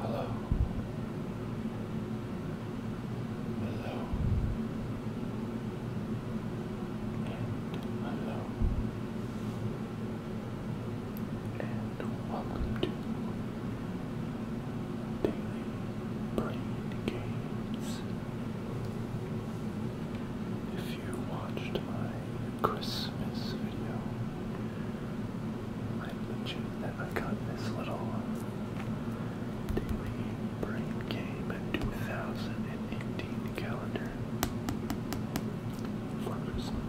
Hello. Hello. And hello. And welcome to daily brain games. If you watched my Christmas video, I mentioned that I got this little daily brain game 2018 calendar for Christmas.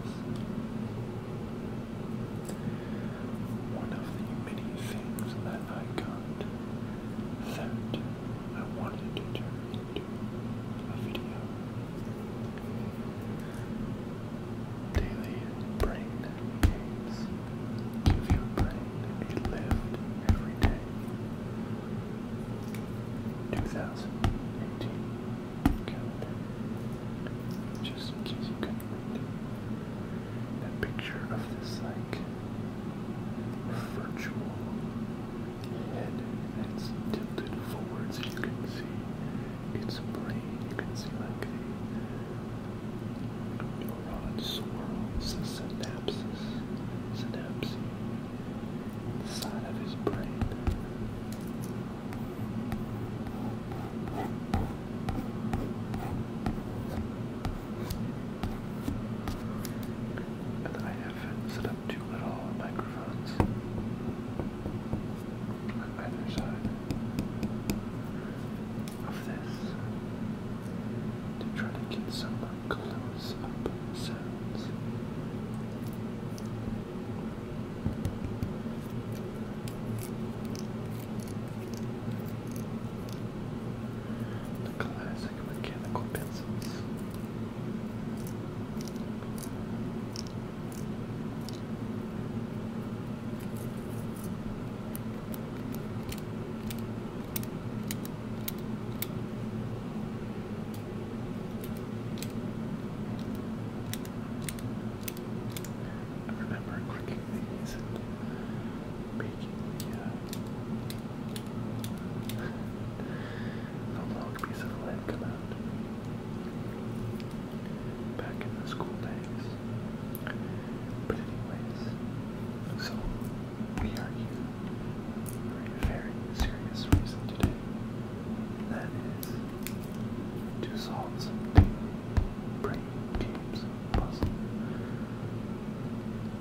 One of the many things that I got that I wanted to turn into a video. Daily brain games. Give your every day. 2018 calendar. Just in case you couldn't a picture of this like virtual head that's tilted forwards you can see its brain. You can see like a neuron swirls, the synapses, synapse inside of his brain. And I have set up two little microphones on either side of this to try to get some close up sounds. The classic mechanical pencils. I remember cooking these and baking uh, long piece of lead come out back in the school days. But anyways, so we are here for a very serious reason today. That is to solve some brain games puzzle.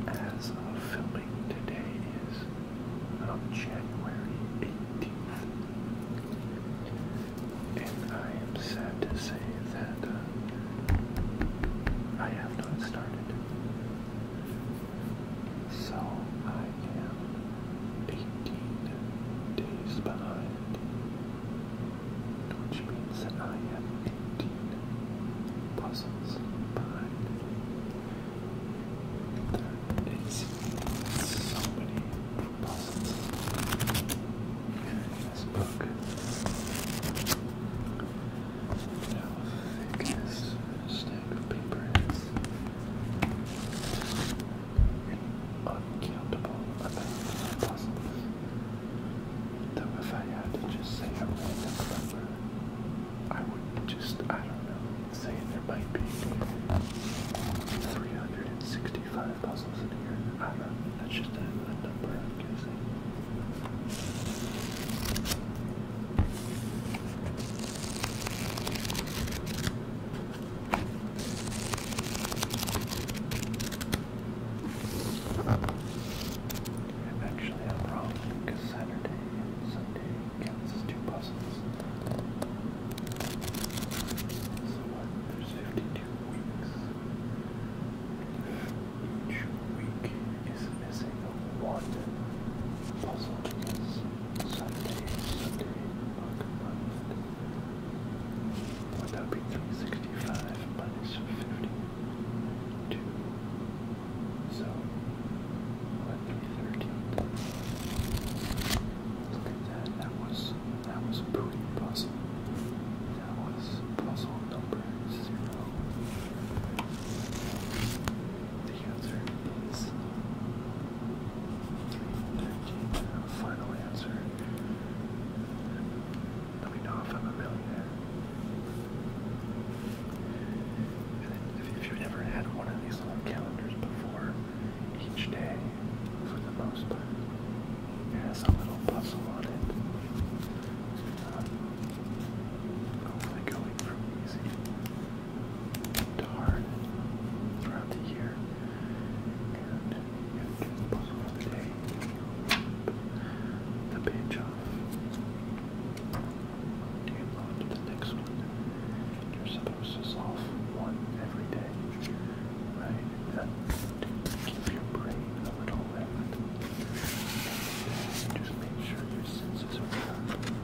As of filming, today is January 18th, and I am sad to say that uh, I have not started. So I am 18 days behind which means that I have 18 puzzles behind me. There is so many puzzles in this book. how thick this stack of paper is. uncountable amount of puzzles. Though if I had to just say a random number, I would just, I don't know, say there might be 365 puzzles in here. I don't that's just a, a number I'm guessing. Actually, I'm wrong because Saturday and Sunday counts as two puzzles. So what? There's 52 weeks. Each week is missing one puzzle because Saturday, Sunday, book would that be 365 minus 52? So, what, 313? Look at that. That was, that was a pretty puzzle. That was puzzle number zero. The answer is 313. Final answer. Let me know if I'm a millionaire. And if you've never had one of these little calendars before, each day, for the most part, has a little puzzle on it. Um, going from easy to hard throughout the year the day. Do you go You're supposed to solve one every day, right? That keep your brain a little wet. Just make sure your senses are sharp.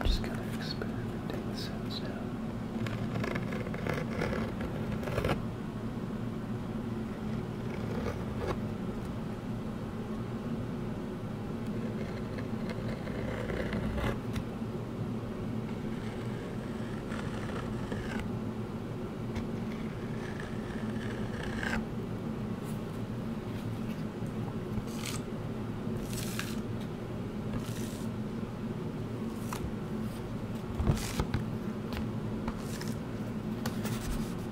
I'm just kind of experimenting the sounds now.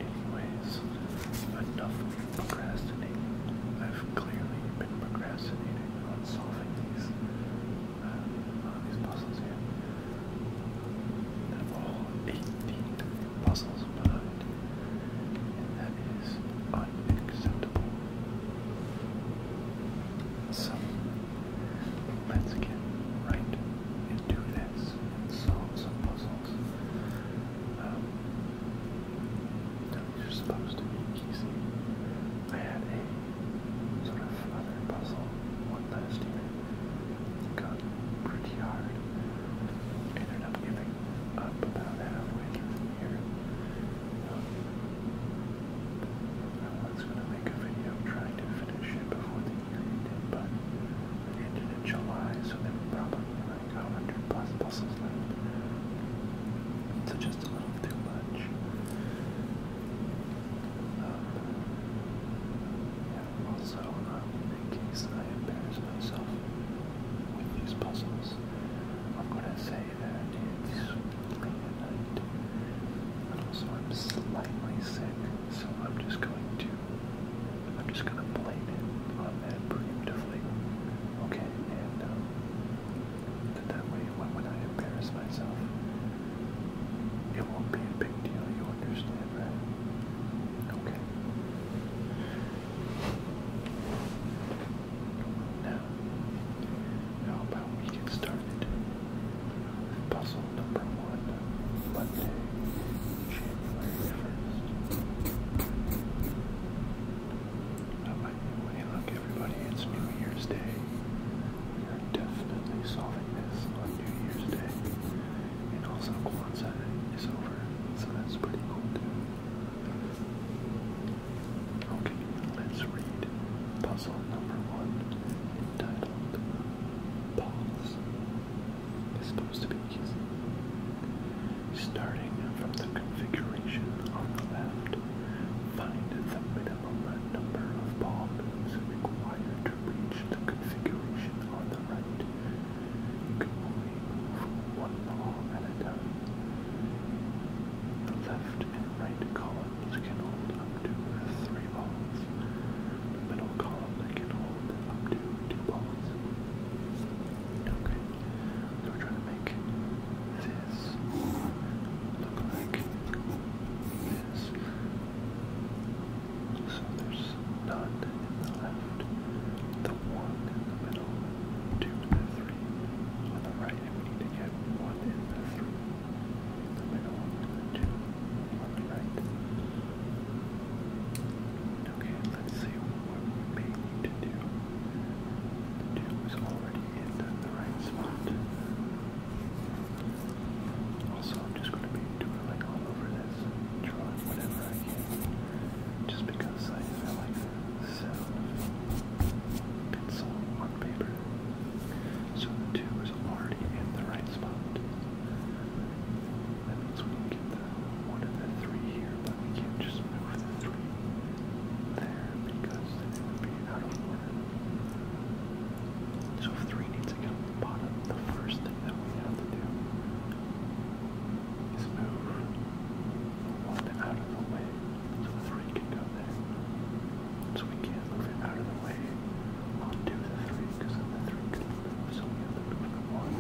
Anyways, enough procrastinating. I've clearly been procrastinating on solving these uh, these puzzles here. There are all 18 puzzles, but and that is unacceptable. So let's get right into this and solve some puzzles. these are supposed to be easy. I had a sort of other puzzle one last year. got pretty hard. Ended up giving up about halfway through here. Um, I was going to make a video trying to finish it before the year but ended in July, so there probably like 100 plus puzzles left. So just a little too much. Um, yeah, also, um, in case I embarrass myself with these puzzles, I'm gonna say that it's late at night, and also I'm slightly sick, so I'm just going to, I'm just gonna blame it on that preemptively, okay, and that, um, that way when I embarrass myself, it won't be a big deal, you understand, that? Okay. Now, how about we get started on puzzle number one, Monday, January 1st. Now, look, everybody, it's New Year's Day. We are definitely solving this on New Year's Day. And also Kwanzaa is over, so that's pretty cool too. Okay, let's read puzzle number one entitled Pause. It's supposed to be easy. Starting from the configuration on the left, find the minimum number of ball required to reach the configuration on the right. You can only move one ball at a time. The left and right columns can hold up to three balls. middle column can hold up to two balls. Okay, so we're trying to make this look like this. So there's not in the left, the one in the middle, two to three. On the right, we need to get one in three. In the middle, two. On the right. Okay, let's see what we may need to do. two is already in the right spot. Also, I'm just going to be doing all over this, drawing whatever I can, just because I feel like so, pencil on paper. So the two is already in the right spot. That means we can get one and the three here, but we can't just move the three there because then it would be out of order. So three needs to come to the bottom, the first thing that we have to do is move one out of the way so the three can go there. So we can move it out of the way onto because the three can move, so we have one.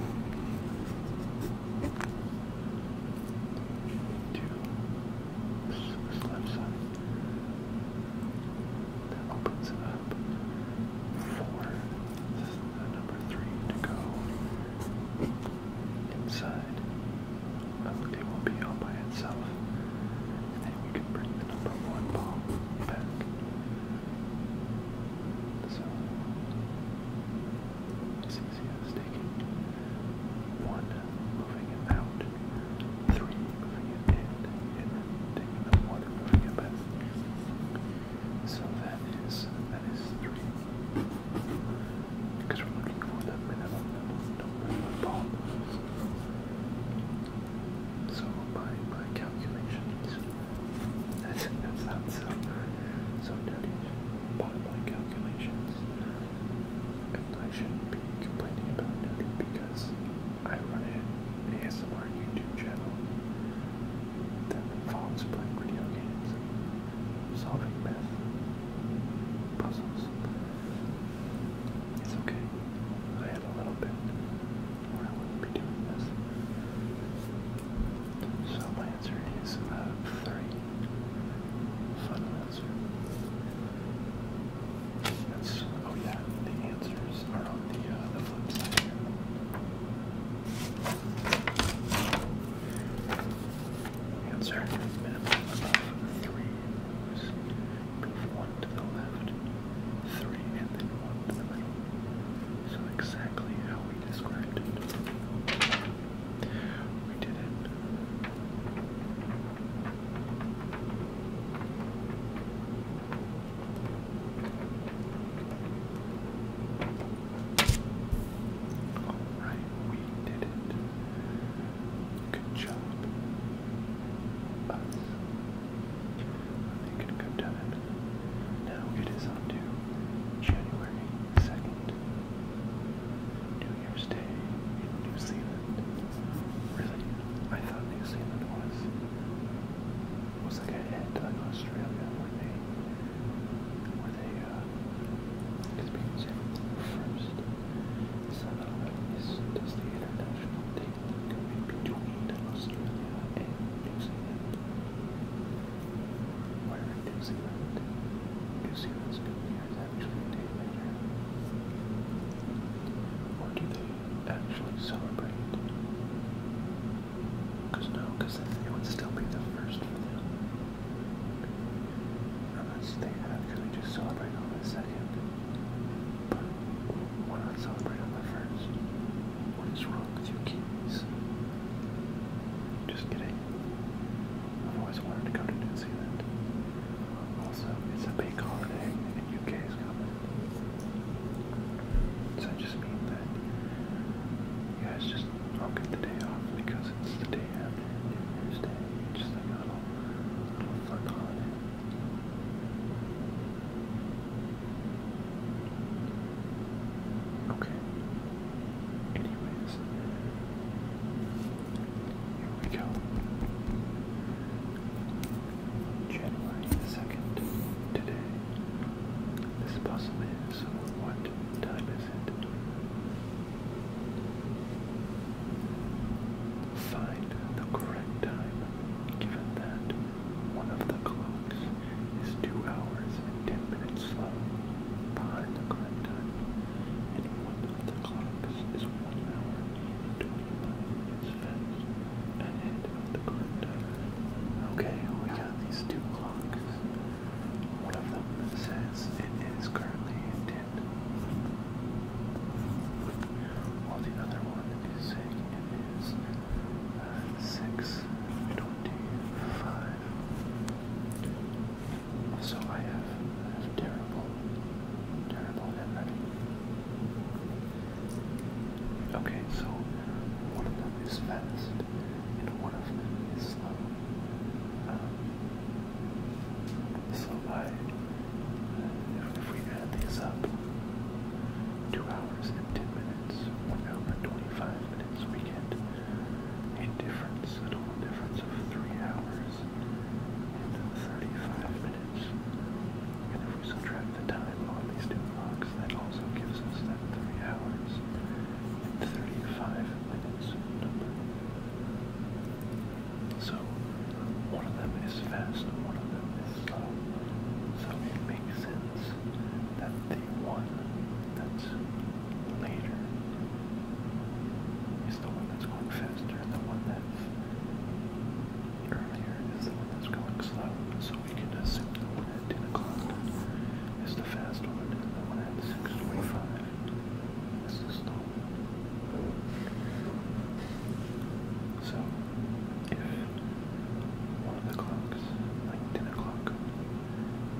Two. This, this left side. it up for number three to go inside. But it will be all by itself. And then we can bring the number one ball back. So, as easy as taking one, moving it out, three, moving it in, and then taking the one moving it back. So that is that is 3. Because we're looking for the minimum number of polygons. So by my calculations, that's, that sounds so, so dirty. By my calculations, and I shouldn't be complaining about dirty because I run an ASMR YouTube channel that involves playing video games, solving myth, puzzles. It's okay. I had a little bit, or I wouldn't be doing this. So my answer is uh, three. Final answer. That's oh yeah. The answers are on the uh, the flip side here. Answer minimum of three moves. Move one to the left, three, and then one to the middle. So exactly how we described it. We did it. Alright, we did it. Good job. Us. Make it a good Now it is on to January 2nd, New Year's Day in New Zealand. Really? I thought New Zealand was was like ahead like Australia where they where they, uh, it's being served first. So is, does the international date go in between Australia and New Zealand? Where in New Zealand? New Zealand's New Year is actually a day later. Or do they actually celebrate? Because no, because it would still be the first for them. I'm not think that because we just celebrate on the second, but why not celebrate on the first? What is wrong with you kiwis? Just kidding. I've always wanted to go to New Zealand. Also, it's a big holiday and UK is coming. So I just mean that you guys just I'll get the day off because it's the day after New Year's Day. Just like a little, fun holiday. Okay. Anyways, here we go. January second today. This puzzle what time is it? Find the correct time, given that one of the clocks is 2 hours and 10 minutes slow behind the correct time, and one of the clocks is 1 hour and 25 minutes fast ahead of the correct time. Okay, we got these two clocks. One of them says it is currently in while the other one is saying it is uh, 625. So I have, I have terrible, terrible handwriting. Okay, so one of them is fast and one of them is slow. Um, so by, uh, if we add these up, 2 hours and 10 minutes, 1 hour and 25 minutes, we get a difference, a total difference of 3 hours and 35 minutes. And if we subtract the time on these two clocks, that also gives us that 3 hours 35 minutes. So one of them is fast, one of them is slow. So it makes sense that the one that's later is the one that's going faster and the one that's earlier is the one that's going slow. So we can assume that one at 10 o'clock is the fast one and the one at 6.25 so, if one of like 10 o'clock,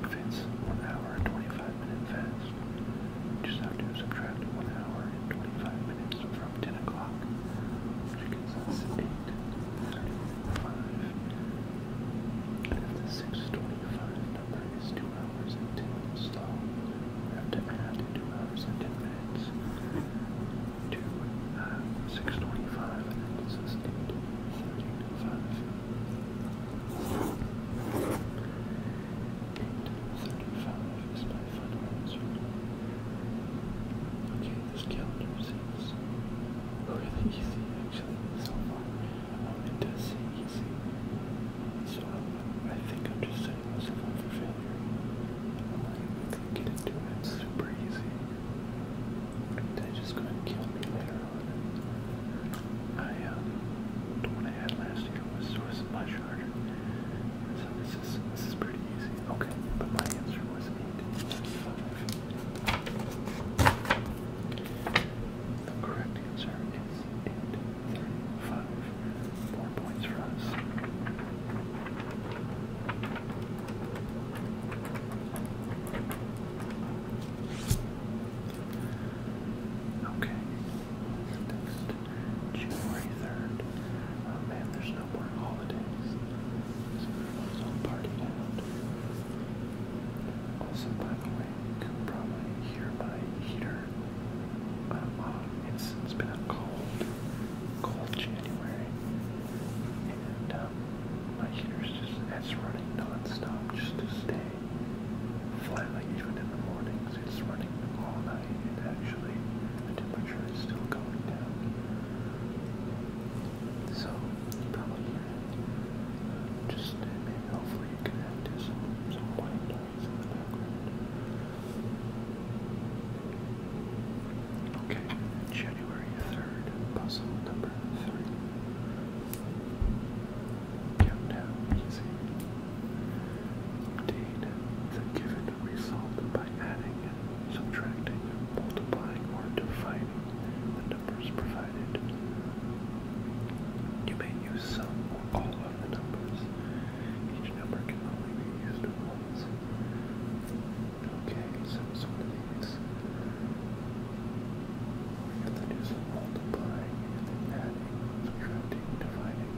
fits 1 hour and 25 minutes fast, you just have to subtract 1 hour and 25 minutes from 10 o'clock, which gives us 8, 35 number 2 hours and 10 minutes long. have to add 2 hours and 10 minutes to uh, 625, and 835. 835 is my final answer. Okay, this calendar seems really easy actually so far wanted to see easy. So I think I'm just setting myself up for failure. I'm not get it it's easy. they just gonna kill me later on. I um the I had last year was was much harder. So this is this is pretty easy. Okay, but my answer was eight. The correct answer and 35. Four points for us. Okay. Next, 3rd. Oh man, there's no more holidays. So everyone's all partying out. Also, by the way, you could probably here by heater. Um, uh, it's, it's been a cold, cold January, and um, my heater's just it's running nonstop just to stay flat. Like even in the mornings, it's running all night, and actually the temperature is still going down. So you probably hear just uh, maybe you can to some, Okay, January 3rd, puzzle number 3. Countdown easy. Obtain the given result by adding, subtracting, multiplying, or dividing the numbers provided. You may use some or all of the numbers. Each number can only be used once. Okay, so it's one of these. We have to do some multiplying and then adding, subtracting, dividing.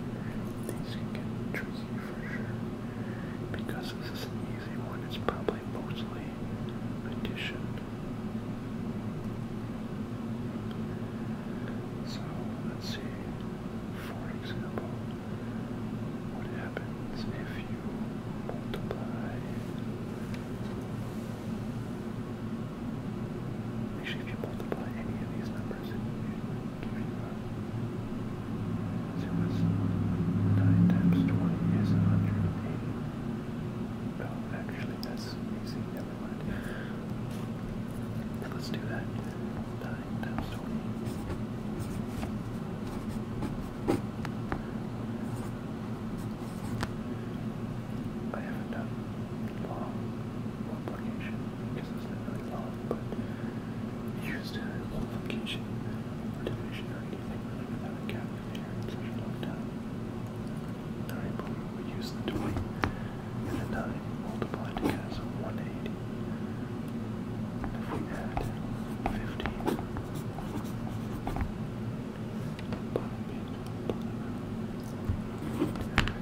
These can get tricky for sure. Because this is an easy one, it's probably mostly addition. So let's see, for example, what happens if you multiply, actually if you multiply any of these numbers, you a, so it was 9 times 20 is 180. Well, actually that's easy, let's do that. times twenty. I haven't done long multiplication because it's not really long, but used multiplication or division or anything really without a 9 point, we use the 20, and a 9 multiplied as 180. If we add 15,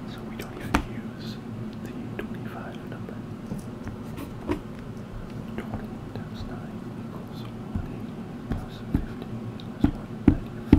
so we don't even use the 25 number. 20 times 9 equals 180 plus 15 plus 195.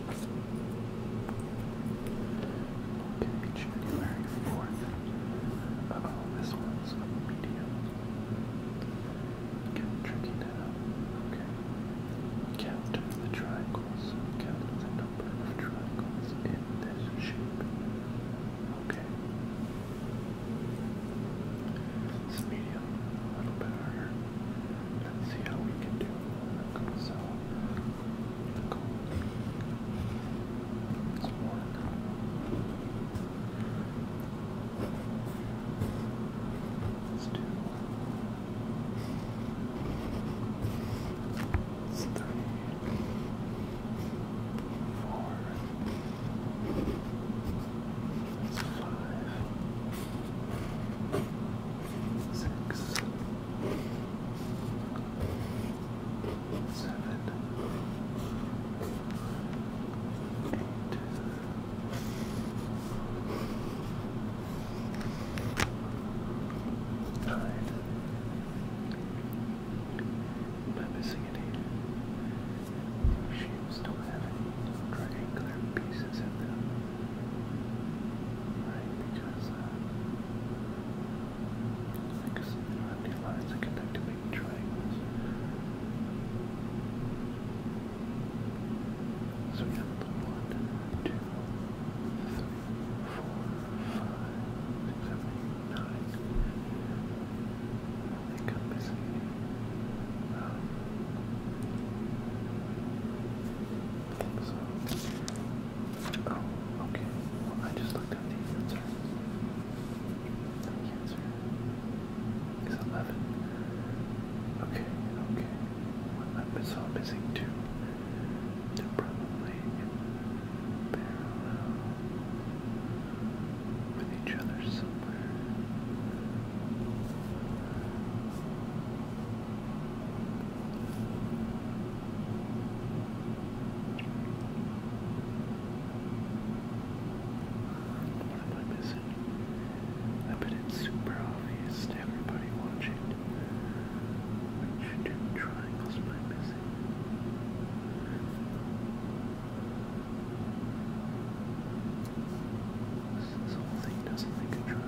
Okay, January 4th. Uh oh, this one's medium. Kind tricky now. Okay. Count the triangles. Count the number of triangles in this shape. Okay. It's medium, a little bit Let's see how we can do. So, Let's do it's three, four, it's five, six. Seven, seven, eight, nine. Am missing any? Sheep don't have triangular pieces in them. Right, because because uh, they don't lines that connect to make triangles. So we have one, two, three, four, five, six, seven, eight, nine. I think oh, okay. I just looked up the answer. The answer is 11. Okay, okay. Well, I'm missing two. They're probably parallel with each other somewhere. What am I missing? I bet it's super obvious to everybody watching. Which two triangles am I missing? This whole thing doesn't make a triangle.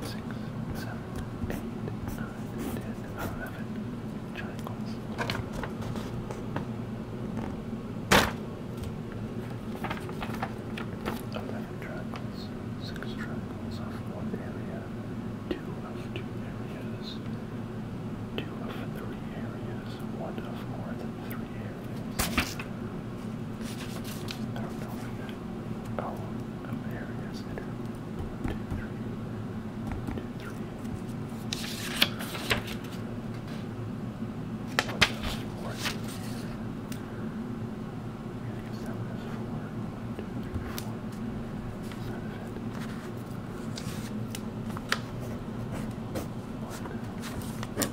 six, seven, eight, nine, ten, eleven triangles. Eleven triangles, six triangles of one area, two of two areas, two of three areas, one of more than three areas. I don't know Oh, oh, there it is. It is. Two, three. Two, three. What is this for? I guess that was four. One, two, three, four. That's not it. One, two, three.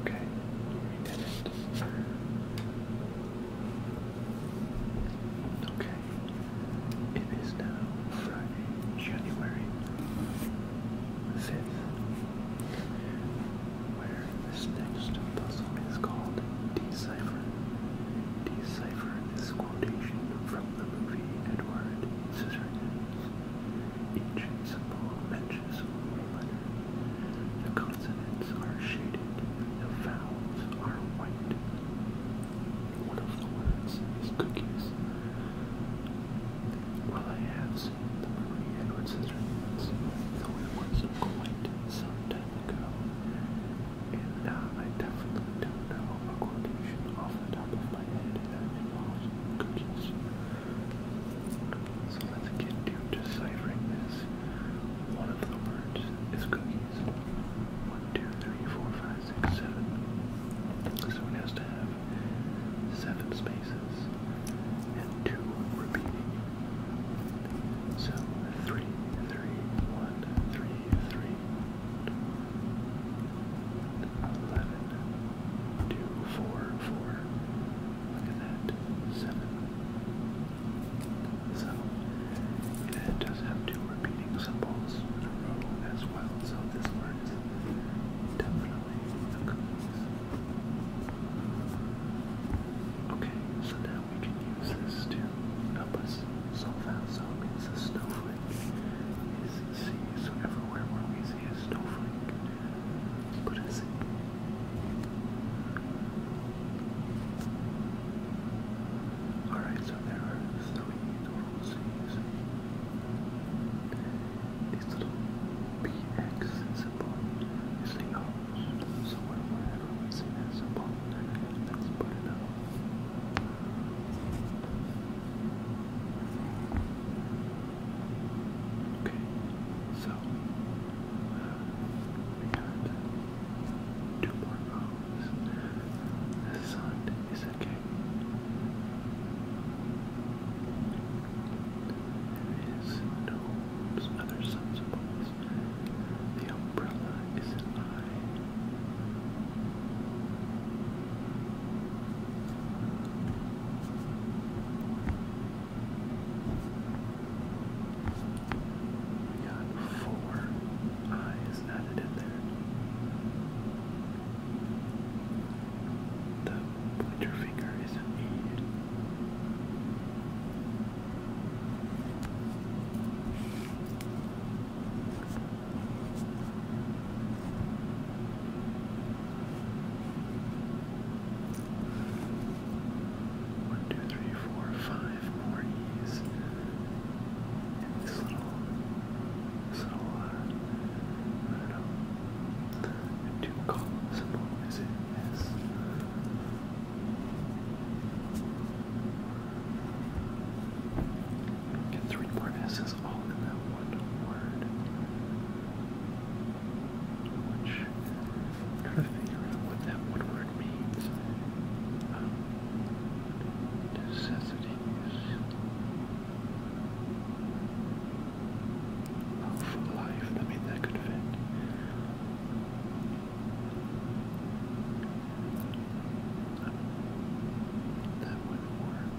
Okay, we did it. Okay, it is now Friday, January 5th, where this next puzzle is called decipher. Decipher this quotation from the movie Edward Scissorhands. Each symbol matches one letter. The consonants are shaded. The vowels are white. One of the words is cookies. Well, I have seen the movie Edward Scissorhands, though it was quite some time ago. And uh, I definitely don't know a quotation the top of my head that involves cookies. So let's get to deciphering this. One of the words is cookies. One, two, three, four, five, six, seven. So it has to have seven spaces and two repeating. So three, three, one, three, three eleven, two, four, four. Look at that, seven. So, it does have two repeating symbols in a row as well, so this word definitely a Okay, so now we can use this to help us solve that. So it means snowflake is C. So everywhere we see a snowflake, put a C. Alright, so there are three total C's. These little BX symbol is the O's. So wherever we see that symbol, let's put it Okay, so uh, two more rows. The sun is a There is no other sun The umbrella is we got four eyes added in there. The pointer finger isn't needed. One, two, three, four, five more E's. And this little, this little, uh, I don't know, and two column symbol is it S? Yes. Get three more S's all in that one word. Which, trying to figure out what that one word means. Um, necessities of life. I mean, that could fit. That wouldn't work.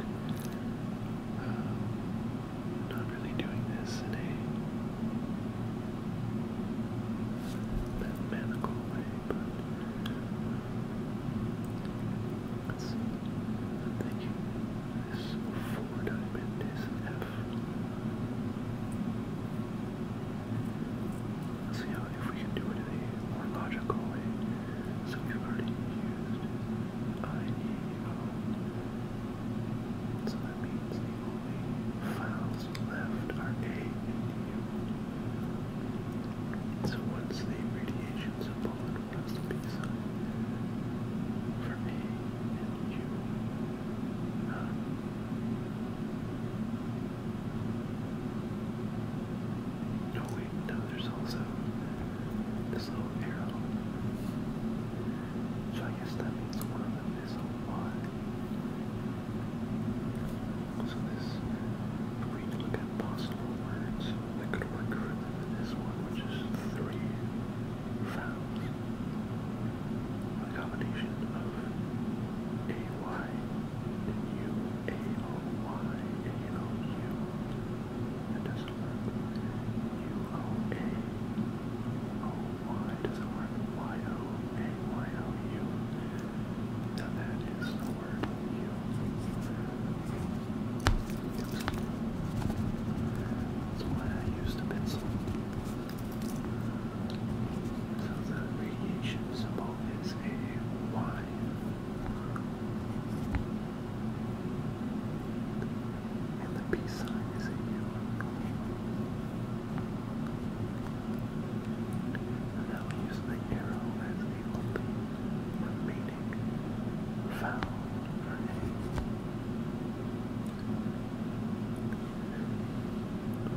Um, not really doing this in a mathematical way, but I'm um, thinking this four diamond Let's see how if we can do it in a more logical way. So we've already used IEO. So that means the only files left are A and U. So once the radiation symbol and what's the B sign for A and U. Uh, no, wait, no, there's also this little arrow. So I guess that means one of them is So this, if we look at possible words that could work for this one, which three vowels. A combination of A-Y U-A-O-Y-A-O-U. That doesn't work. U-O-A-O-Y doesn't work. Y-O-A-Y-O-U. that is the word That's why I used a So the radiation symbol is a Y. And the peace sign is a U. will use the arrow as the only remaining vowel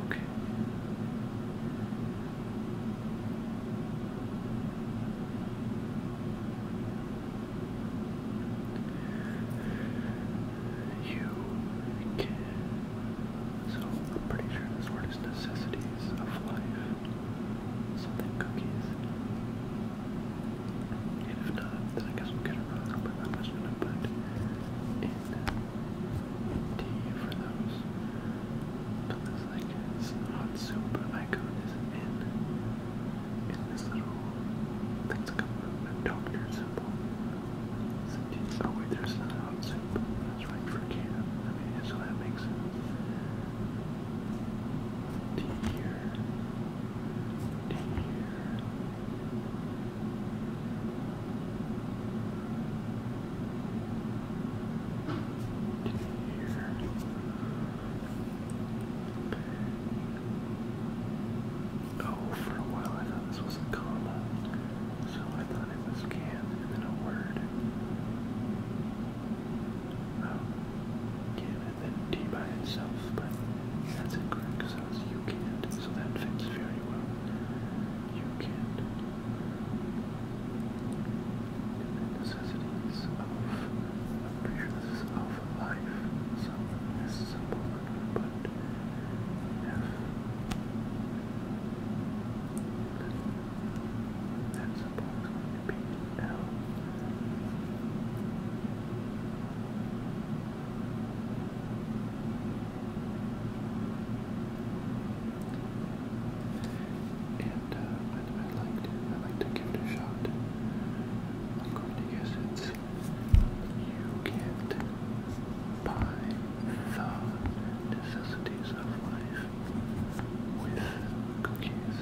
A. Okay. You So I'm pretty sure this word is necessities of life. Something cookies. And if not, then I guess we'll get around. But I'm just going tea for those. But like hot soup icon is in, in this little, that's like a, doctor symbol. Oh wait, there's another hot soup. That's right for Canada. so that makes sense. Tea here. Tea here. Oh, for a while I thought this was a comma, so I thought it was can and then a word. Oh, can and then D by itself, but that's incorrect because that you can so that fits very well. You can the necessities of, I'm of life, so this but if that symbol is be L, and uh, i like to give it a shot. I'm going to guess it's you can't the necessities of life with cookies.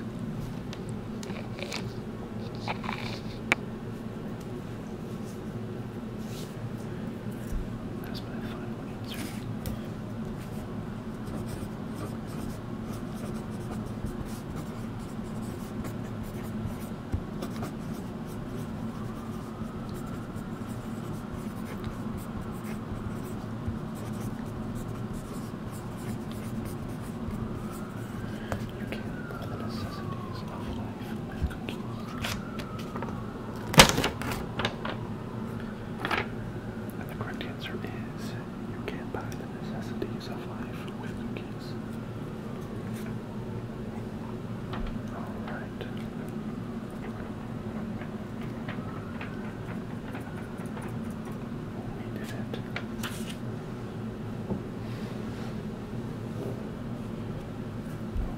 That's my final answer. You can buy the necessities of life and the correct answer is you can't buy the necessities of life with cookies. Alright. did it.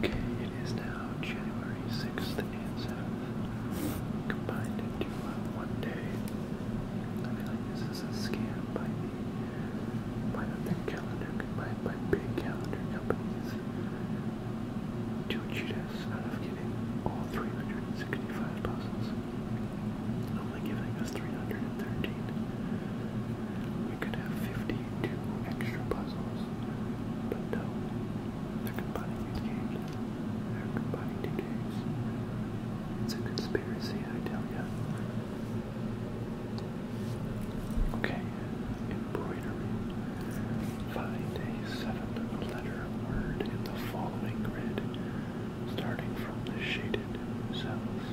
Okay, it is now January 6th and 7th, combined into uh, one day. I feel this is a by by the calendar, by, by big calendar companies to cheat us out of getting all 365 puzzles, only giving us 313. We could have 52 extra puzzles, but no, they're combining these games it's a conspiracy, I tell ya. Okay, embroidery. Find a seven-letter word in the following grid, starting from the shaded cells.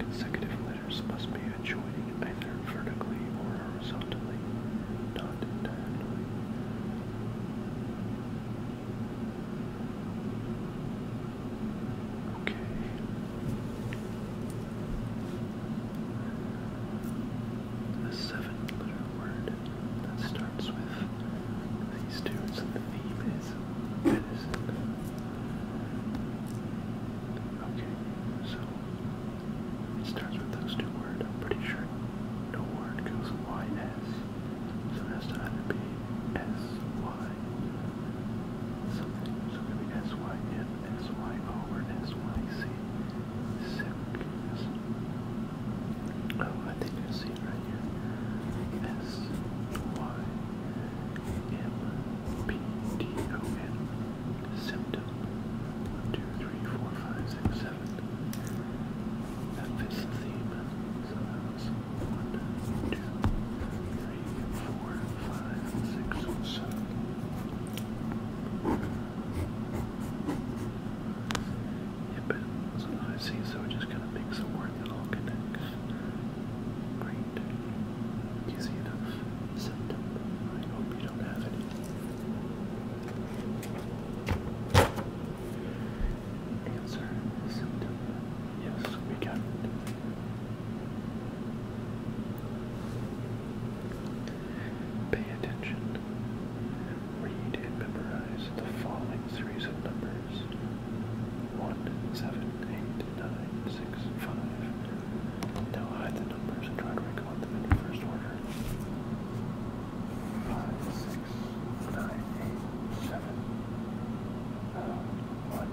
Consecutive letters must be adjoining either vertically or horizontally. Okay. A seven letter word that starts with these two, so the theme is medicine. Okay, so it starts with those two words, I'm pretty sure. No word goes Y-S, so it has to be S-Y something, so maybe could be S-Y-N, S-Y-O, or S-Y-C. Sick. Oh, I think I see right here. S-Y-M-P-D-O-N symptom. One, two, three, four, five, six, seven. That fits the theme. So that one, two, three, four, five, six, seven. Yep, it was an IC, so it just kind of makes a word that all connects. Great. Easy enough. Symptom. I hope you don't have any. Answer Yes, we got Pay attention. Read and memorize the following series of numbers. 1, Now hide the numbers and try to recall them in the order five, six, nine, eight, seven, uh, one.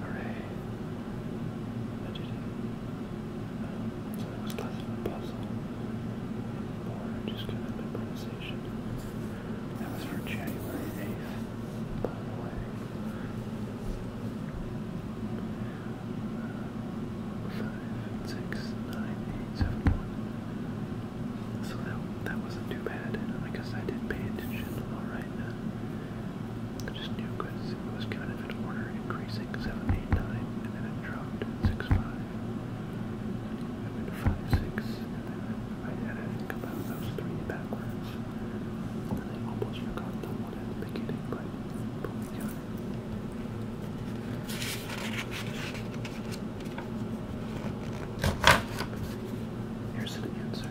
Hooray! it. was less of a puzzle, more just kind of improvisation. That was for January 8th. Five, six, nine, eight, seven, one. So that that wasn't too bad, and I guess I did pay attention. All right, uh, I just knew because it was counted in order, increasing seven, eight, nine, and then it dropped six, five, and then five, six, and then I had it about those three backwards. And I almost forgot the one at the beginning, but, Here's an answer.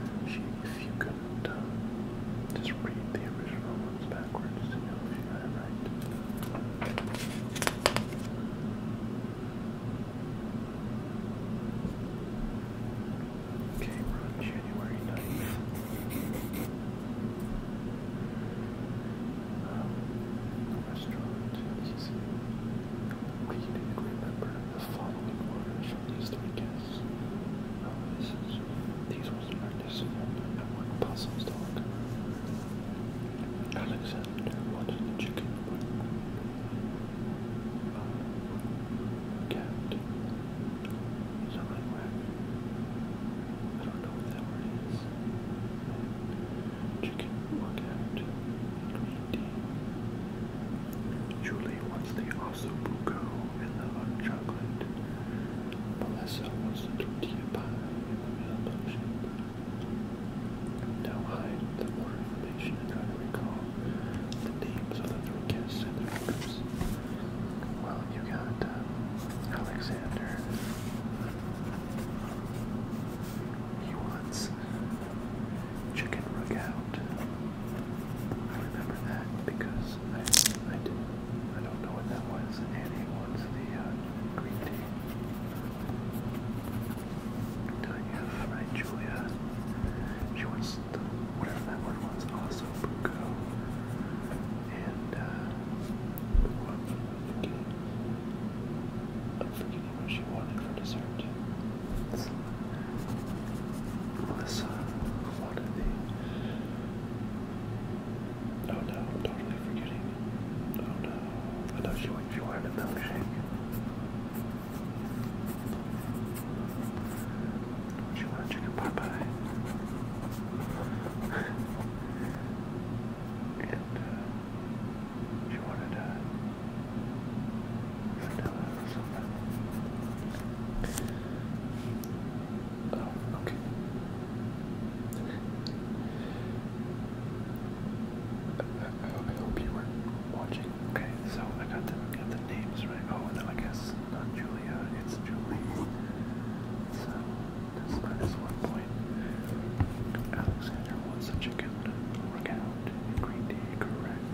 if you couldn't um, just read the original ones backwards to know if you got it right came January 9th. Um, the restaurant reading, remember the following orders from these three these were an artisan one puzzles dog. Alexander wanted the chicken, but Cat. Something whack. I don't know what that word is. Chicken workout. Green Julie wants the osso buco and the hot chocolate. Melissa wants the tortilla and the milk milkshake. Now hide the more information and try to recall names of the three guests and their numbers. Well, you got uh, Alexander. He wants chicken rugout. I remember that because I, I did I don't know what that was. And he wants the uh, green tea. Tanya, right, Julia. She wants whatever that word was, also Ossobuco. And, uh, what I'm forgetting. what she wanted for dessert. It's Melissa wanted the. Oh no, I'm totally forgetting. Oh no. I know she, she wanted a milkshake. Do you want a uh, she wanted uh, vanilla or something. Oh, okay. I, I, I hope you were watching. Okay, so I got the got the names right. Oh no, I guess not Julia, it's Julie. So that's minus one point. Alexander wants a chicken recount. Green tea, correct.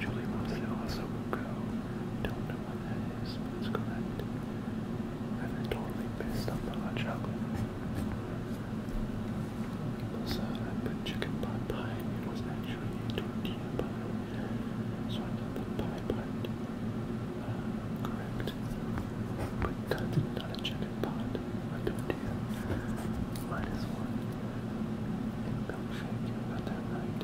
Julie wants to also go. Don't know what that is, but it's correct. I've been totally pissed off by hot chocolate. So I put chicken pot pie. was actually tortilla pie. So I got the pie part uh, correct. But that's not a chicken pot, a tortilla. Minus one. And milkshake, you got that right.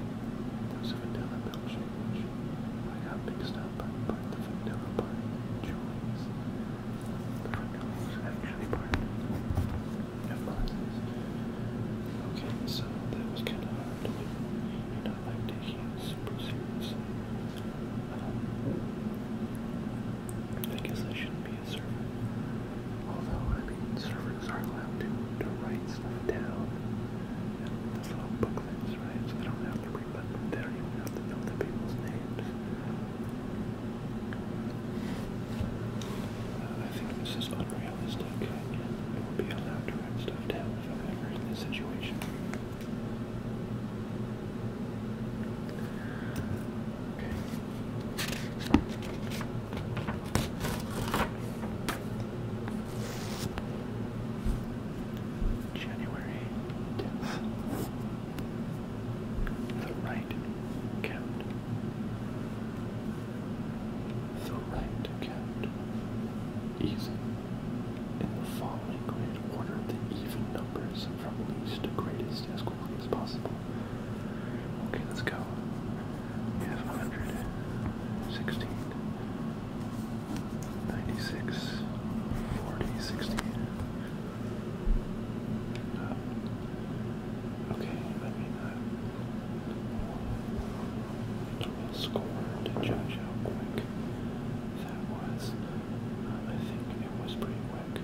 There was a vanilla milkshake, which I got mixed up, but the vanilla part, Julie's. The vanilla was actually part. Okay, so that was kind of hard to do. And I like taking super seriously. Um, I guess I shouldn't be a server. Although, I mean, servers are allowed to, write stuff down. And that's little booklets, right? So they don't have to remember. They don't even have to know the people's names. Uh, I think this is unrealistic. I will be allowed to write stuff down if I'm ever in this situation. Okay. January 10th. The right count. The right count. Easy. In the following order the even numbers from least to greatest as quickly as possible. Okay, let's go. We have uh, okay, I mean, uh, score to judge how quick that was. Um, I think it was pretty quick.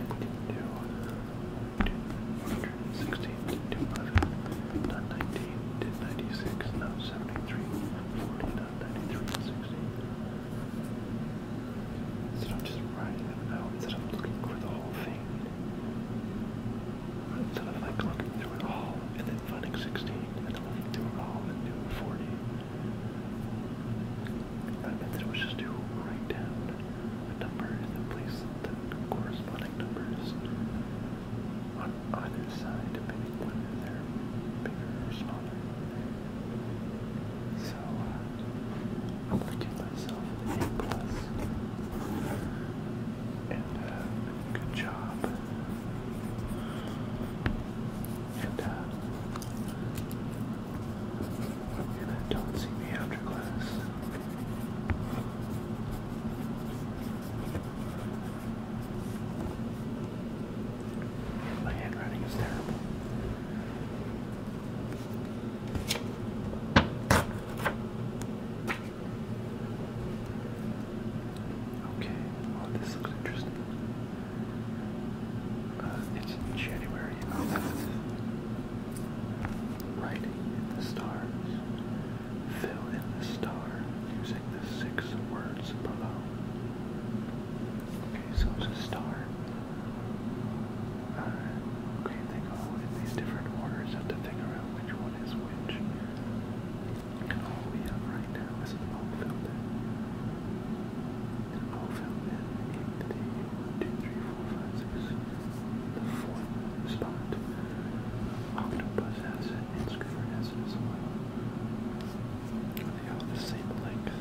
If we didn't do 116 to 211, not 19, did 96, not 73, 40, not 93, 60. Instead of just writing them out, instead of looking for the whole thing it's sort of like looking through it all and then finding 16 and looking through it all and doing 40. that it was just to write down a number and place the corresponding numbers on either side depending whether they're bigger or smaller. I'm gonna give myself an A plus. And uh, good job. And don't see me after class. My handwriting is terrible. Okay, well oh, this looks interesting. Uh, it's January. Oh, I'll writing in the stars. Fill in the star using the six words below. Okay, so it's a star. Uh, okay, they go in these different orders. You have to figure out which one is which. And all we have right now is an old film in. An old film in the 1, 2, 3, 4, 5, 6, the fourth spot. Octopus has it, and Squidward has it as well. They all the same length.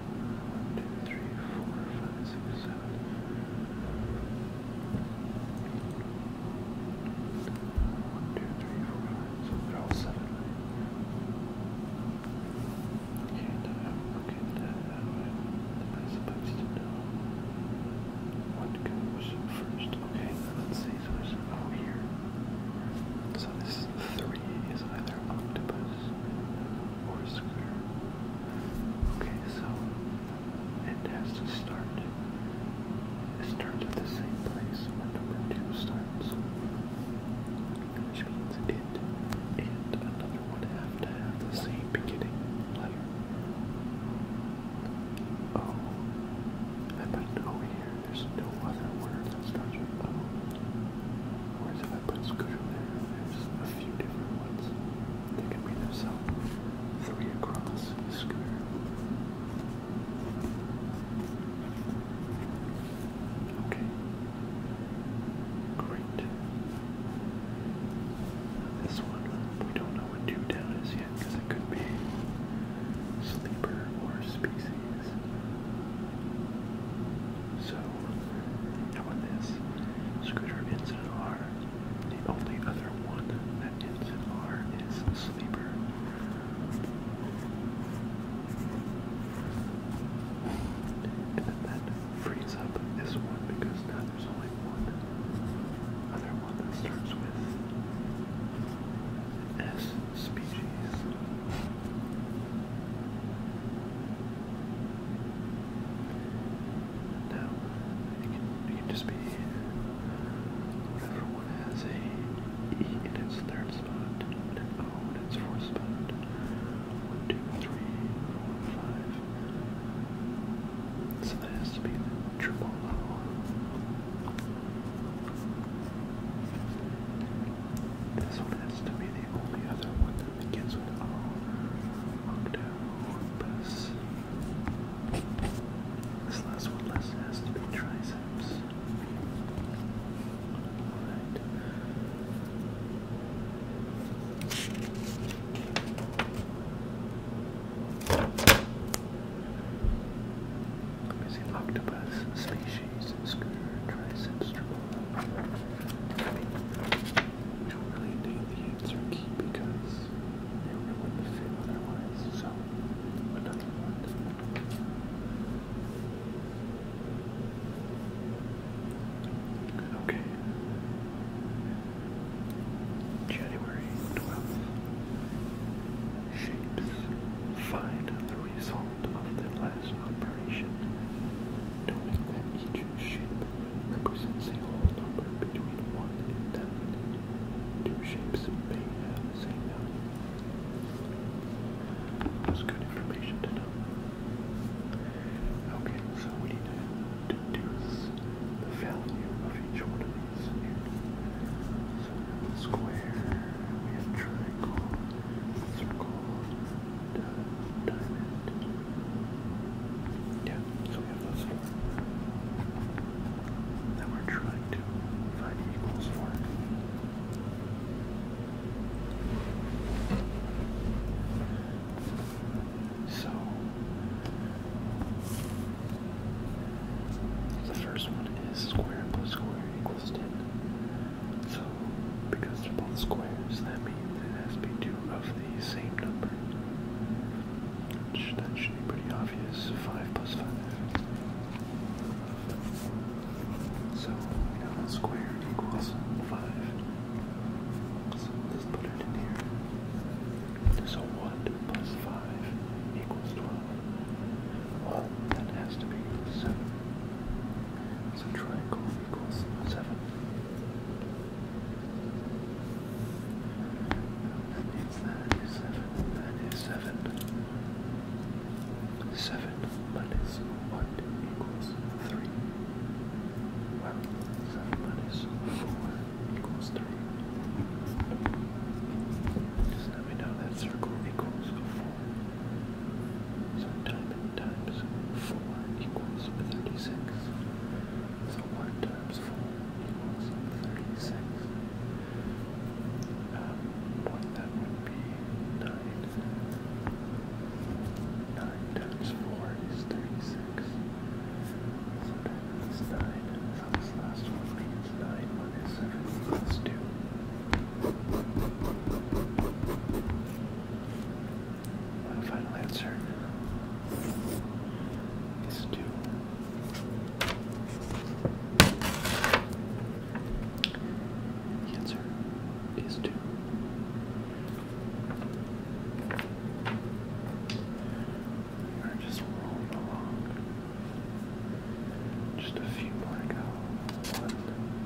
One, two, three, four, five, six, seven. One, two, three, four, five, so they're all seven, right? Okay, okay, I supposed to know what goes first. Okay, let's see, so there's oh here. So this three is either octopus or a square. Okay, so it has to start. It starts at the same place where number two starts. Which means it and another one have to have the same beginning letter. Oh, I put an oh, O here. There's no other word that starts with O. Whereas if I put scooter there, there's a few different ones. They can be themselves three across square. Okay. Great. This one, we don't know what two down is yet because it could be sleeper or species. So, how about this? Scooter inside R. The only other one that ends in R is sleeper. And then frees up this one because now there's only one other one that starts with S species. Now, it can, just be whatever one has a E in its third spot, and O in its fourth spot. One, two, three, four, five. So that has to be the triple O. This one has to be the only other one that begins with O. Octave. Olympus. This last one has to be triceps. Alright. Let octopus species, screw, triceps, I mean, names are key because they ruin the film otherwise, so another one. Okay. January 12th. Shapes. Find the result of the last operation knowing that each shape represents a whole number between 1 and 10. Two shapes That's good information to know. Okay, so we need to deduce the value of each one of these So we have a we have a triangle, yeah, so we have those four. we're trying to find equals for. So the first one is square plus square equals ten. So because they're both squares, that means it has to be two of the same number. that should be pretty obvious. 5 plus 5. So we have that squared equals 5. let's put it here. So 1 plus 5 equals 12. Well, that has to be 7. So triangle equals 7. Ninety-seven minus one equals three. Well, seven minus four equals three. Just let me know that circle equals four. So time times four equals thirty-six. So 1 times 4 equals 36. Um, that would be 9. 9 times 4 is 36. So that is 9. So this last one means 9 minus 7 2. My final answer is two. answer is two. We are just rolling along. Just a few more to go. One,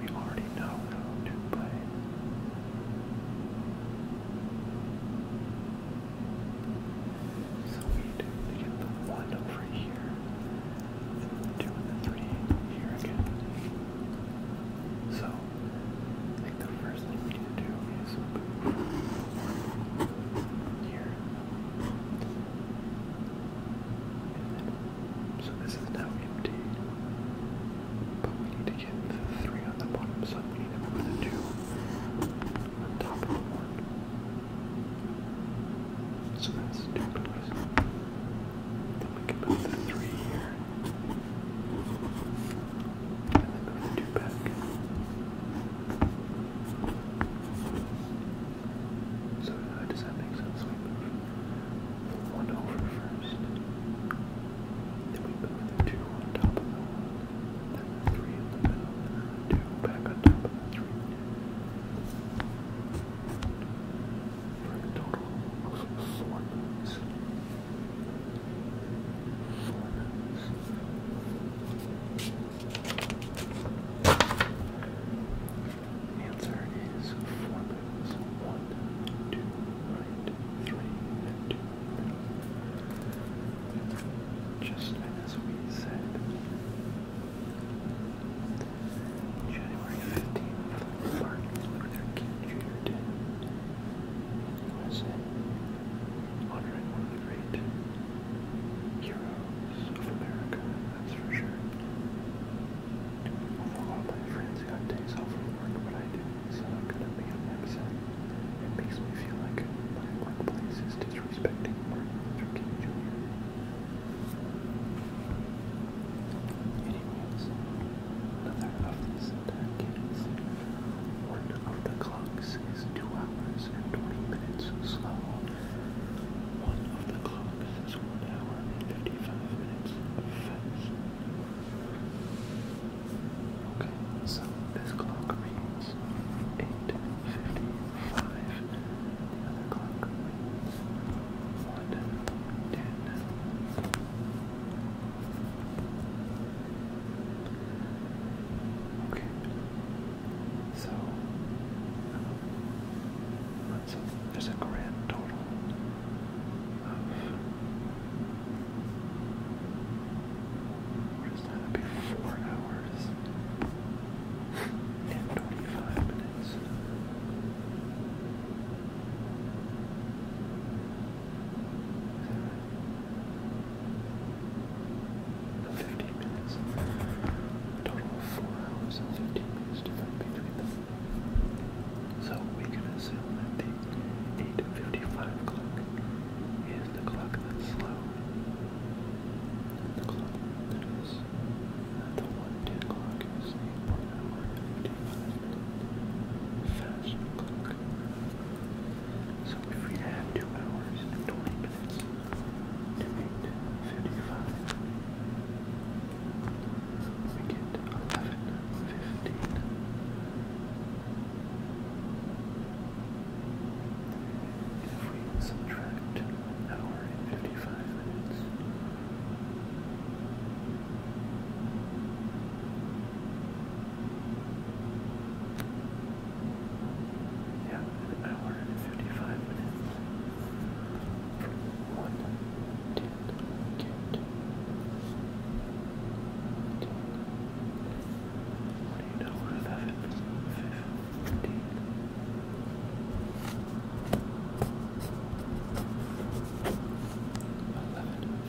We already know how to play. So we need to get the one over here, and two and three here again. So I think the first thing we need to do is move here. So this is now empty. But we need to get three on the bottom, so we need to two on top of one. So that's two Then we can put the three here. And then the two back. So uh, does that make sense? one over first, then we move two on top then three and then two back on top three. total four Four Answer is four moons. One, two, right, three, and two. Just as we said. January 15th, Martin Luther King Jr. did in USA, honoring one of the great heroes of America, that's for sure. Although all my friends got days off from work, but I didn't, so I'm gonna be upset. It makes me feel like my workplace is disrespecting Martin Luther King Jr. Anyways, another of these decades. One of the clocks is two hours and twenty minutes slow. One of the clock says one hour and fifty-five minutes Okay, so this clock reads eight fifty-five. The other clock reads Okay, so. So there's a grand total of. What is that? that be four hours and 25 minutes. Fifteen minutes. total of four hours and fifteen minutes divided between them. So we can assume that the 8.55 clock is the clock that's slow. the clock that is uh, the 110 clock is the 1 fast clock. So if we add 2 hours and 20 minutes to 8.55, we get 11, 15. If we subtract an hour and 55 minutes, yeah, hour and 55 minutes. What did oh I get? What do you know? What about fifteen? Eleven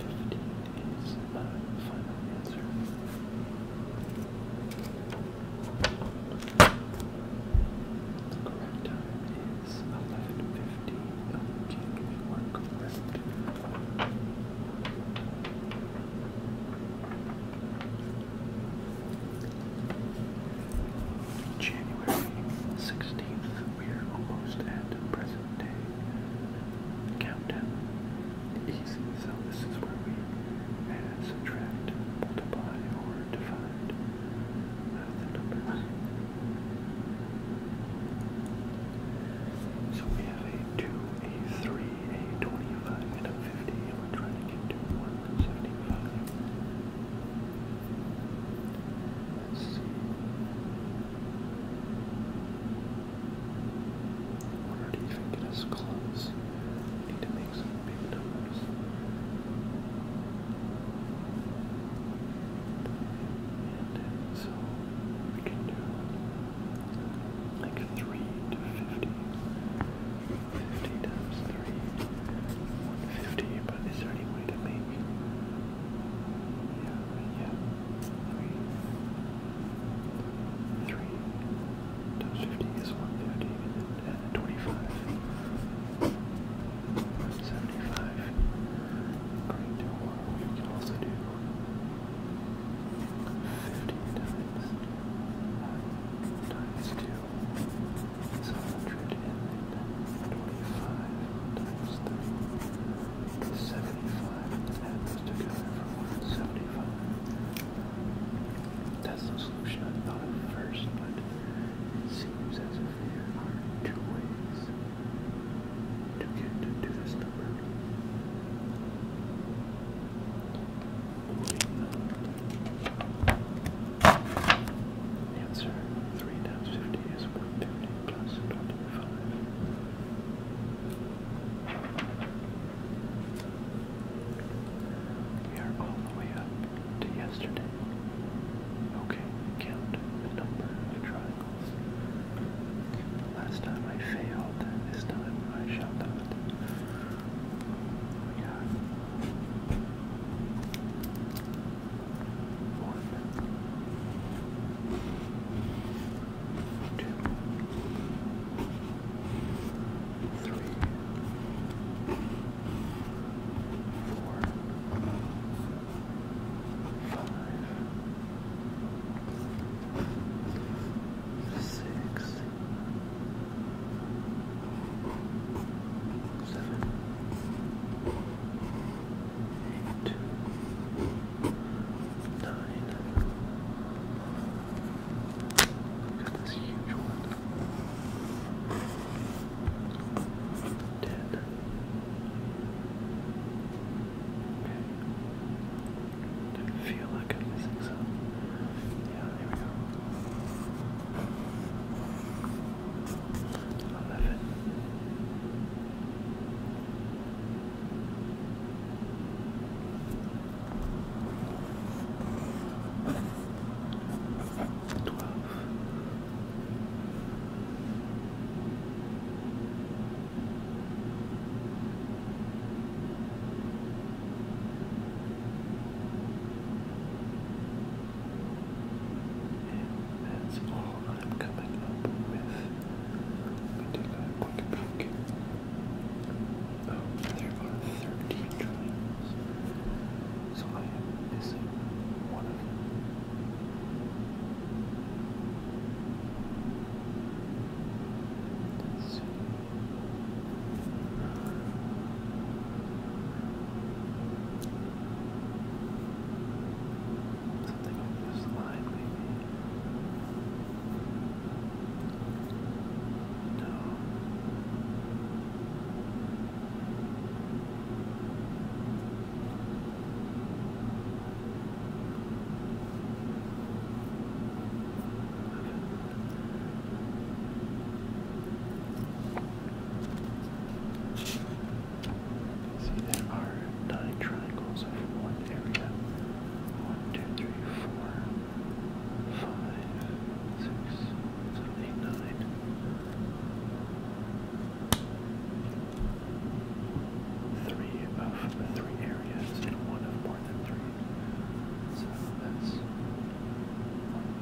fifteen is my final answer. The correct time it's we January 16th, we're almost at present day. Countdown. Easy, so this is where we add, subtract, multiply, or divide. So we have a 2, a 3, a 25, and a 50, and we trying to get to 175. Let's see. We're not even getting us close. need to make some big numbers. And so we can do like 3 to 50. 50 times 3, 150, but is there any way to make, yeah, yeah, 3, 3 times 50 is 150, 125. 175. According we can also do 50 times, uh, times 2. It's 125 times 3. 75. together for 175. That's the solution I thought of first, but it seems as two ways to get to this number. answer 3 times 50 is 150 plus 25. We are all the way up to yesterday. Okay, count the number of triangles. Last time I failed, this time I shall not. We got one, two, three, Look at this huge one. Ten. Okay. I feel like I'm missing some. Yeah, here we go. Eleven. Twelve. And that's all I'm coming up with. Let me take a quick peek. Oh, there are 13 triangles. So I am missing one of them. Something on this line, maybe. No. See, there are nine triangles over one area. One, two, three, four, five, six, seven, eight, nine three of the three areas and one of more than three. So that's one,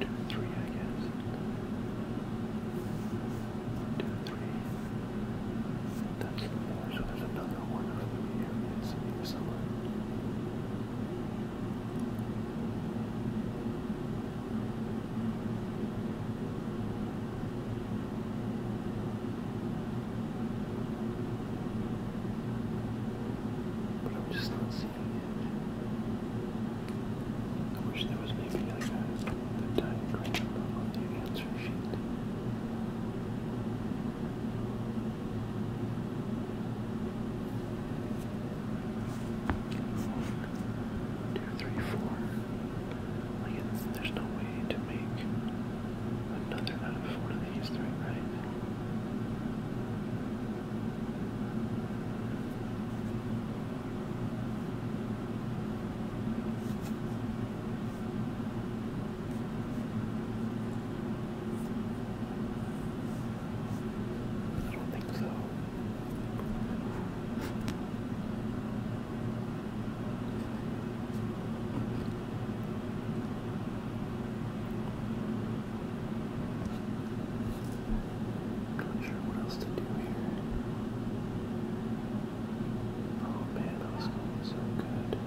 two, three, I guess. One, two, three. That's four. So there's another one of three areas in the but I'm just not seeing it. I wish there was maybe like a, diagram on the answer sheet. One, two, three, four. Like, it's, there's no way to make another out of one of these three, right? I don't think so. what else to do here. Oh man, that was going so good.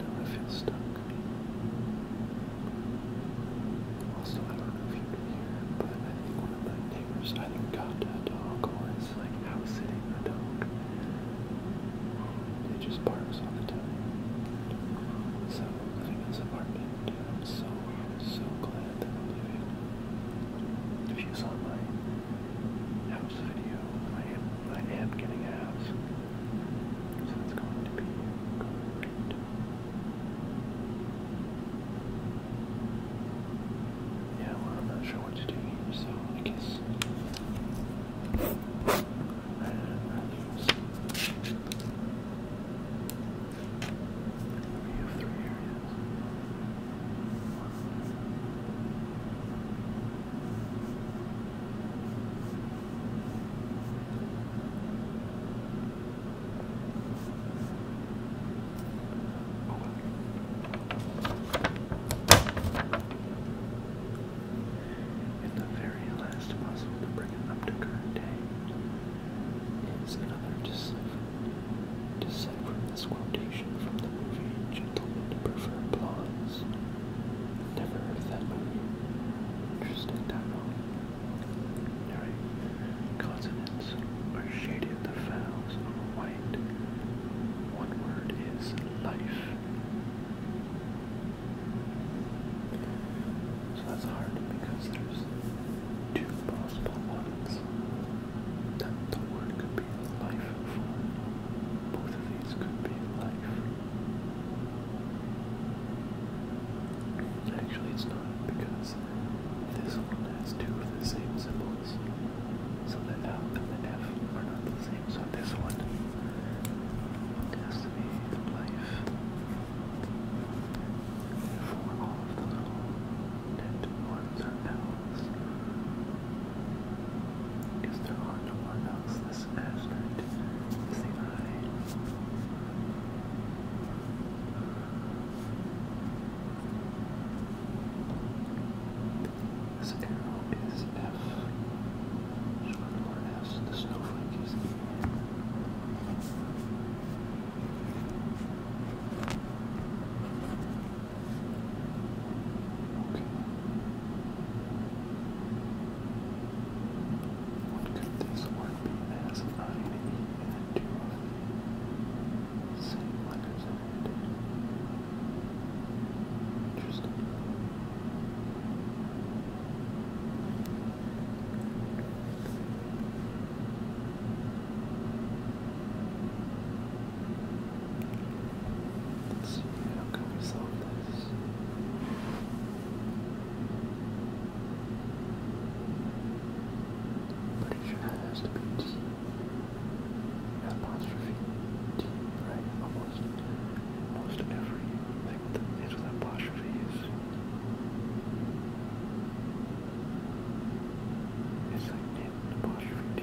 Now I feel stuck. Also, I don't know if you can hear, but I think one of my neighbors either got a dog or is like house sitting a dog. It just barks all the time. So, living in this apartment, I'm so, so glad that I'm living. If you saw my house video, I am, I am getting a house. So Yeah, well, I'm not sure what to do here, so I guess I lose. We have three areas. And the very last puzzle to bring it up to current day is another decipher. Decipher this quotation from the movie Gentlemen Prefer Blondes. Never heard that movie. Interesting title. Alright. Consonants are shaded, the vowels white. One word is life. So that's hard because there's two possible ones. That the word could be life for. Both of these could be life. Actually, it's not because this one has two of the same symbols, so the F and the F are not the same. So this one has to be life for all of little net ones or there are no more L's this aspect arrow is F. Just one The snowflake is E. What could this word be as I and endureth? Same letters in it. Interesting. Let's see how we solve this. But it apostrophe right? Almost most everything that is with apostrophes. It's like in apostrophe T,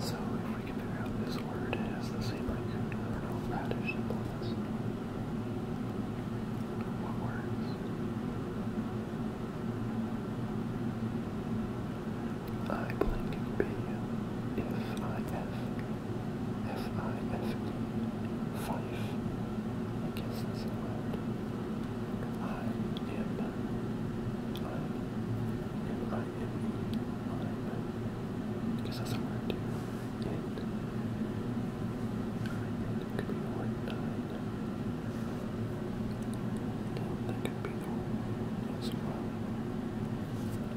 So if we can figure out this word has the same root word of radish and I blank B F I F F I F E Fife. I guess that's the word. I am I am I am I I guess that's a word too. And it could be the word nine. And that could be the word as well.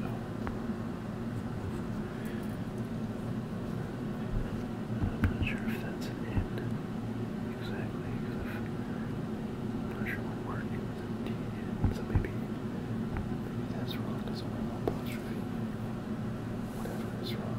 Oh, I'm not sure if that's an end exactly, not sure what word it was in T, so maybe, maybe that's wrong, doesn't work on apostrophe, whatever is wrong.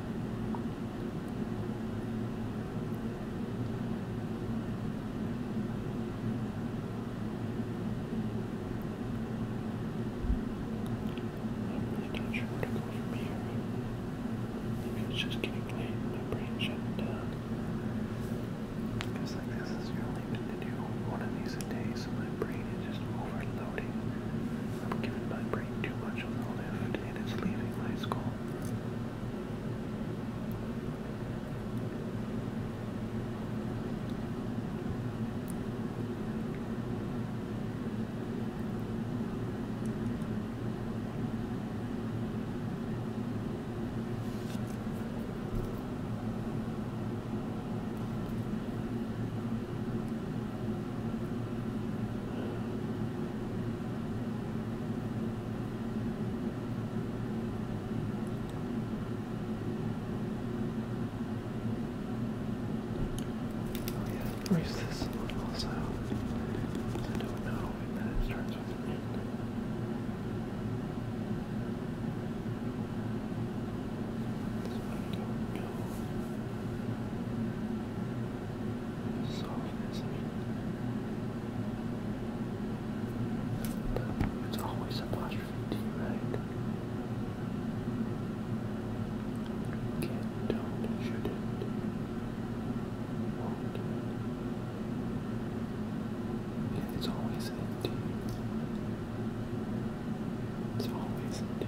I'm not sure where to go from here. Maybe it's just getting late my brain shutting down. Because like this is really good to do one of these a day, so my brain is just overloading I'm giving my brain too much of a lift and it's leaving my skull. Oh yeah, erase this one also. I don't know if that it starts with an N. This one I don't know softness. it's always empty, right? Can, don't, shouldn't, won't. it's always empty. It's always an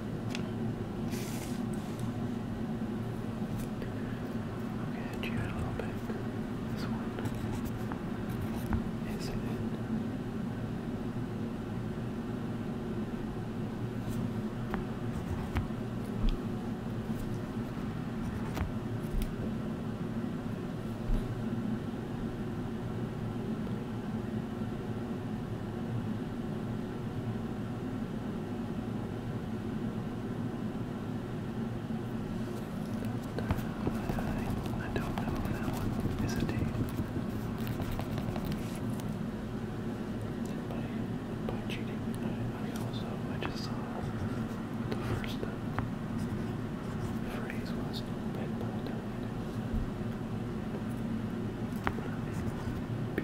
Okay, edge you out a little bit. This one is in. I don't know that one is a by, cheating, I, also, I just saw the first phrase uh, was, bed by night. Bit by nine.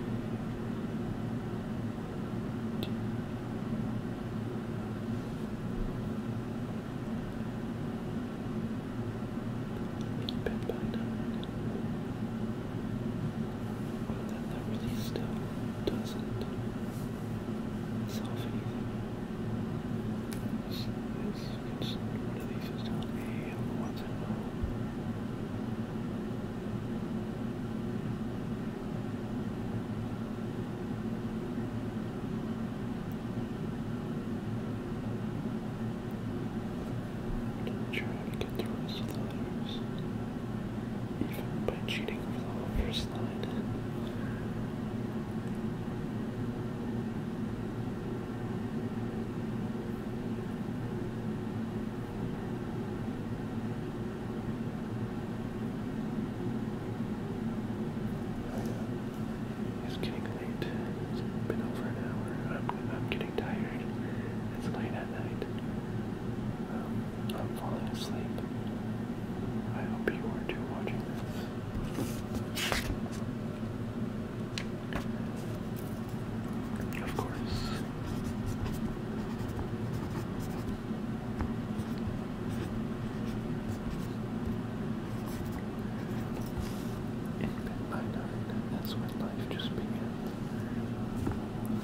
But that, that really still doesn't solve anything. It's, it's, it's at it's not a what's it called? I'm trying to get the rest of the letters, even by cheating for the first line. It's getting late. It's been over an hour. I'm, I'm getting tired. It's late at night. Um, I'm falling asleep. I hope you are too watching this. Of course. In bed that's when life just began.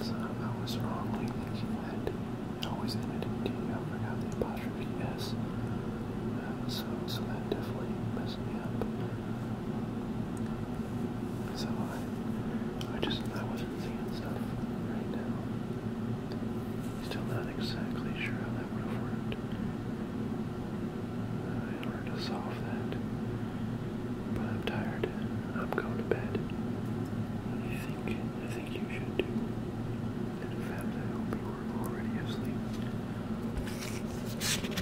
So I was wrongly thinking that it always ended in D. I forgot the apostrophe S. Uh, so, so that definitely messed me up. So I, I just, I wasn't seeing stuff right now. Still not exactly sure how that would have worked in order to solve that. But I'm tired. I'm going to bed. I think, I think you should in fact, I hope you were already asleep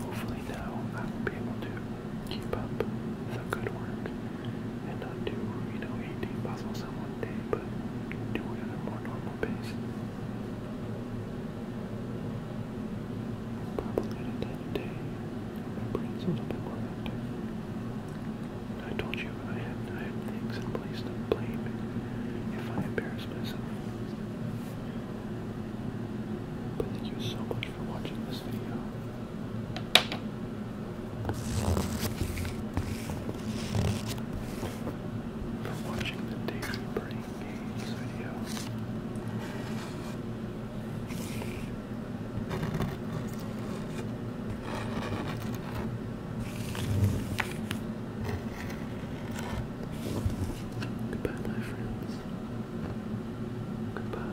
hopefully now I will be able to keep up the good work and not do, you know, 18 puzzles in one day, but do it at a more normal pace. Probably at a time day, my brain's a bit more active. I told you I have, I have things in place to blame if I embarrass myself. But thank you so much for watching this video. For watching the Daily Burning Games video. Goodbye, my friends. Goodbye.